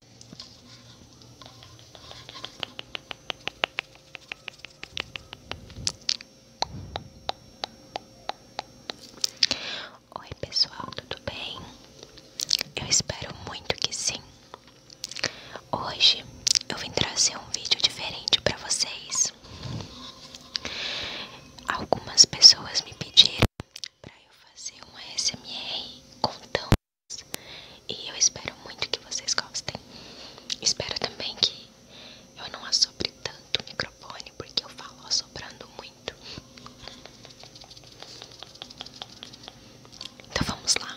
Oi, pessoal, tudo bem? Eu espero muito que sim. Hoje eu vim trazer um vídeo diferente para vocês. Algumas pessoas me pediram para eu fazer um SMR tão e eu espero muito que vocês gostem. Espero também que eu não assobre tanto o microfone, porque eu falo assobrando muito. Então vamos lá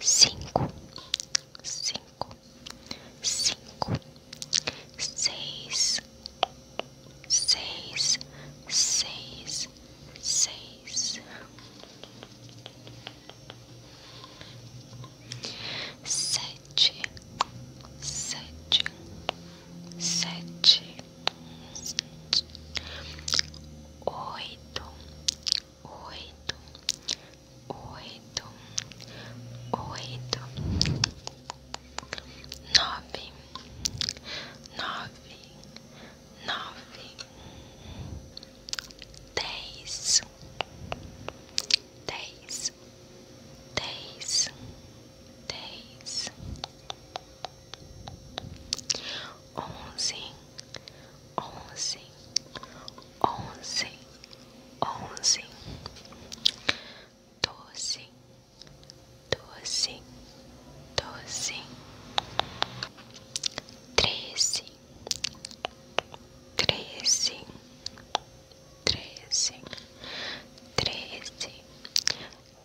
cinco, cinco, cinco, seis, seis, seis, seis, sete, sete sete, oito, oito, oito, oito, nove, nove, nove, dez, dez dez, dez, onze, onze, onze, onze, doze, doze, doze, treze, treze, treze, treze, treze,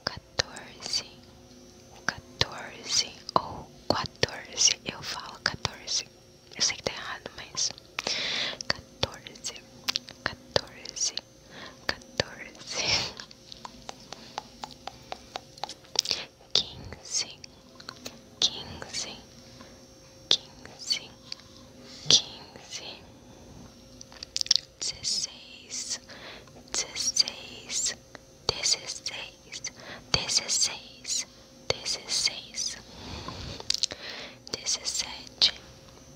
quatorze, quatorze ou quatorze. Eu falo quatorze. Eu sei que tá errado, mas quatorze, quatorze, quatorze, quinze, quinze quinze, quinze, dezesseis, dezesseis, dezesseis, dezesseis, dezesseis, dezessete,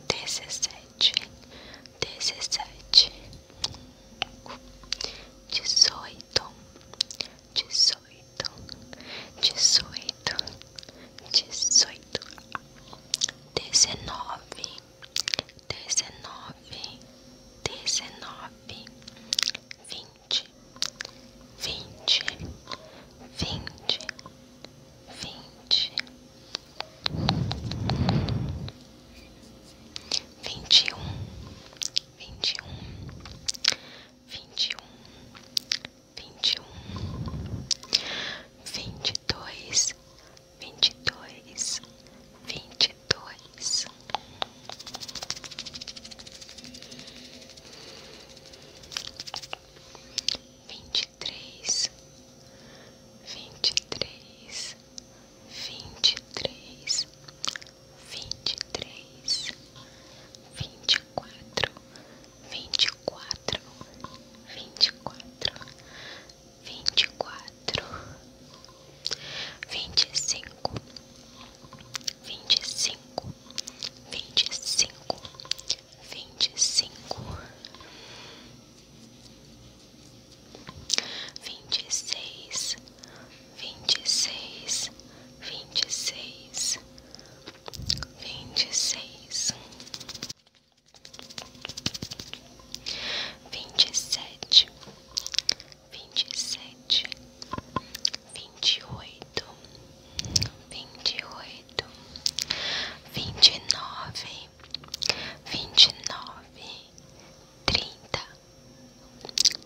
dezessete, dezessete, dezoito, dezoito, dezoito dezoito, dezenove, dezenove, dezenove, vinte, vinte, vinte, vinte, vinte e um, vinte e um, vinte e um vinte um vinte dois vinte e dois vinte e dois vinte e três vinte e três vinte e três vinte e três vinte e quatro vinte e quatro, vinte e quatro, vinte e quatro, vinte e cinco, vinte e cinco, vinte e cinco, vinte e cinco, vinte e seis, vinte e seis, vinte e seis vinte e seis, vinte e sete, vinte e sete, vinte e oito, vinte e oito, vinte e nove, vinte e nove, trinta,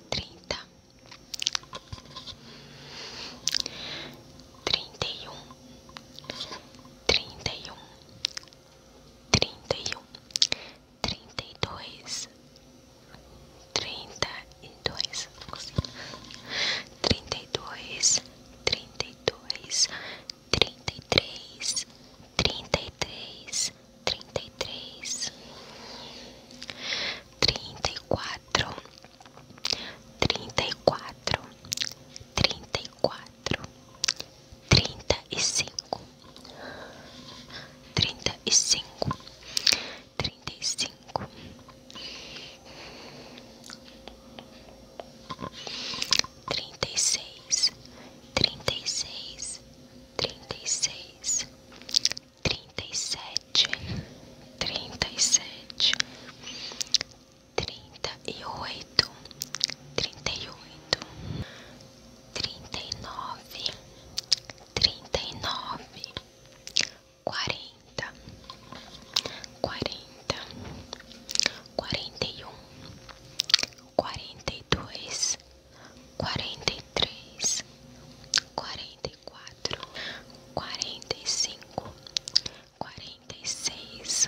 trinta trinta e um, trinta e um, trinta e um, trinta e dois, trinta e dois, trinta e dois, trinta e dois, trinta e três, trinta e três, trinta e três, trinta e quatro trinta e quatro, trinta e quatro, trinta e cinco, trinta e cinco, trinta e cinco, trinta e seis, trinta e seis, trinta e seis. 36 36 36 trinta e sete, trinta e sete, trinta e oito, trinta e oito, trinta e nove, trinta e nove, quarenta, quarenta, quarenta e um, quarenta e dois quarenta e três, quarenta e quatro, quarenta e cinco, quarenta e seis,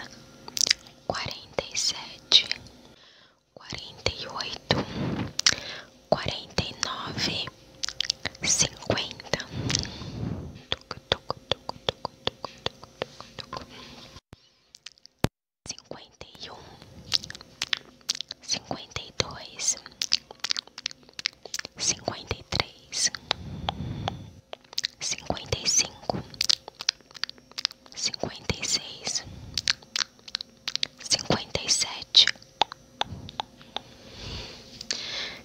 quarenta e sete, quarenta e oito, quarenta e nove, cinquenta. Cinquenta cinquenta e um, cinquenta e dois, cinquenta e três, cinquenta e cinco, cinquenta e seis, cinquenta e sete,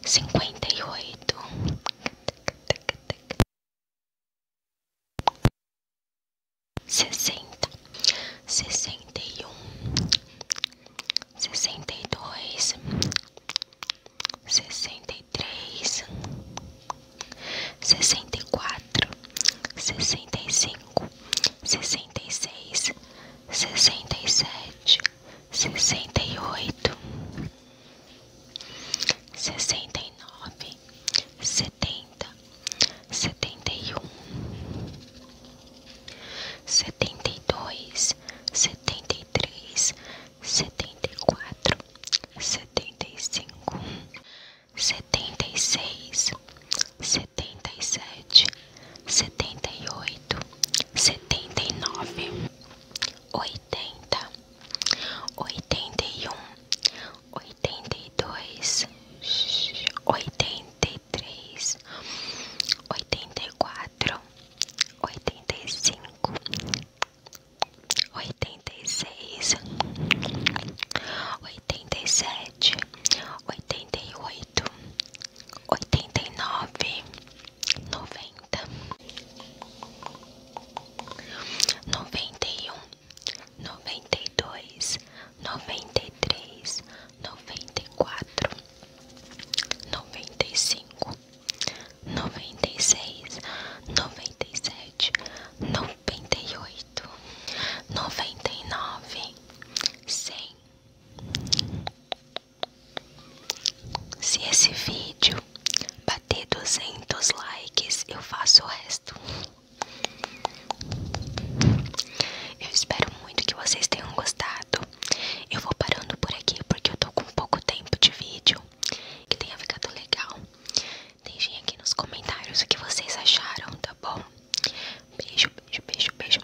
cinquenta e oito sessenta, sessenta e um, sessenta e dois, sessenta e três, sessenta e quatro, sessenta e cinco, sessenta e seis, sessenta e sete, sessenta e oito, sessenta e nove setenta, setenta e um, setenta e dois, setenta e três, setenta e quatro, setenta e cinco, setenta e seis, setenta e sete, setenta e oito, setenta e nove, oitenta, oitenta e um. 89, 90, 91, oitenta e dois, oitenta e três, oitenta e quatro, oitenta e cinco, oitenta e seis, oitenta e sete, oitenta e oito, oitenta e nove, noventa. Noventa e um, noventa e dois, noventa e três, noventa e quatro, noventa e cinco, noventa e seis, noventa e sete, noventa e oito, noventa e nove, cem. Se esse vídeo bater duzentos likes, eu faço o resto. Eu espero muito que vocês tenham gostado. Eu vou parando por aqui porque eu tô com pouco tempo de vídeo. Que tenha ficado legal. Deixem aqui nos comentários o que vocês acharam, tá bom? Beijo, beijo, beijo, beijo.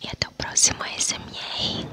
E até o próximo ASMR.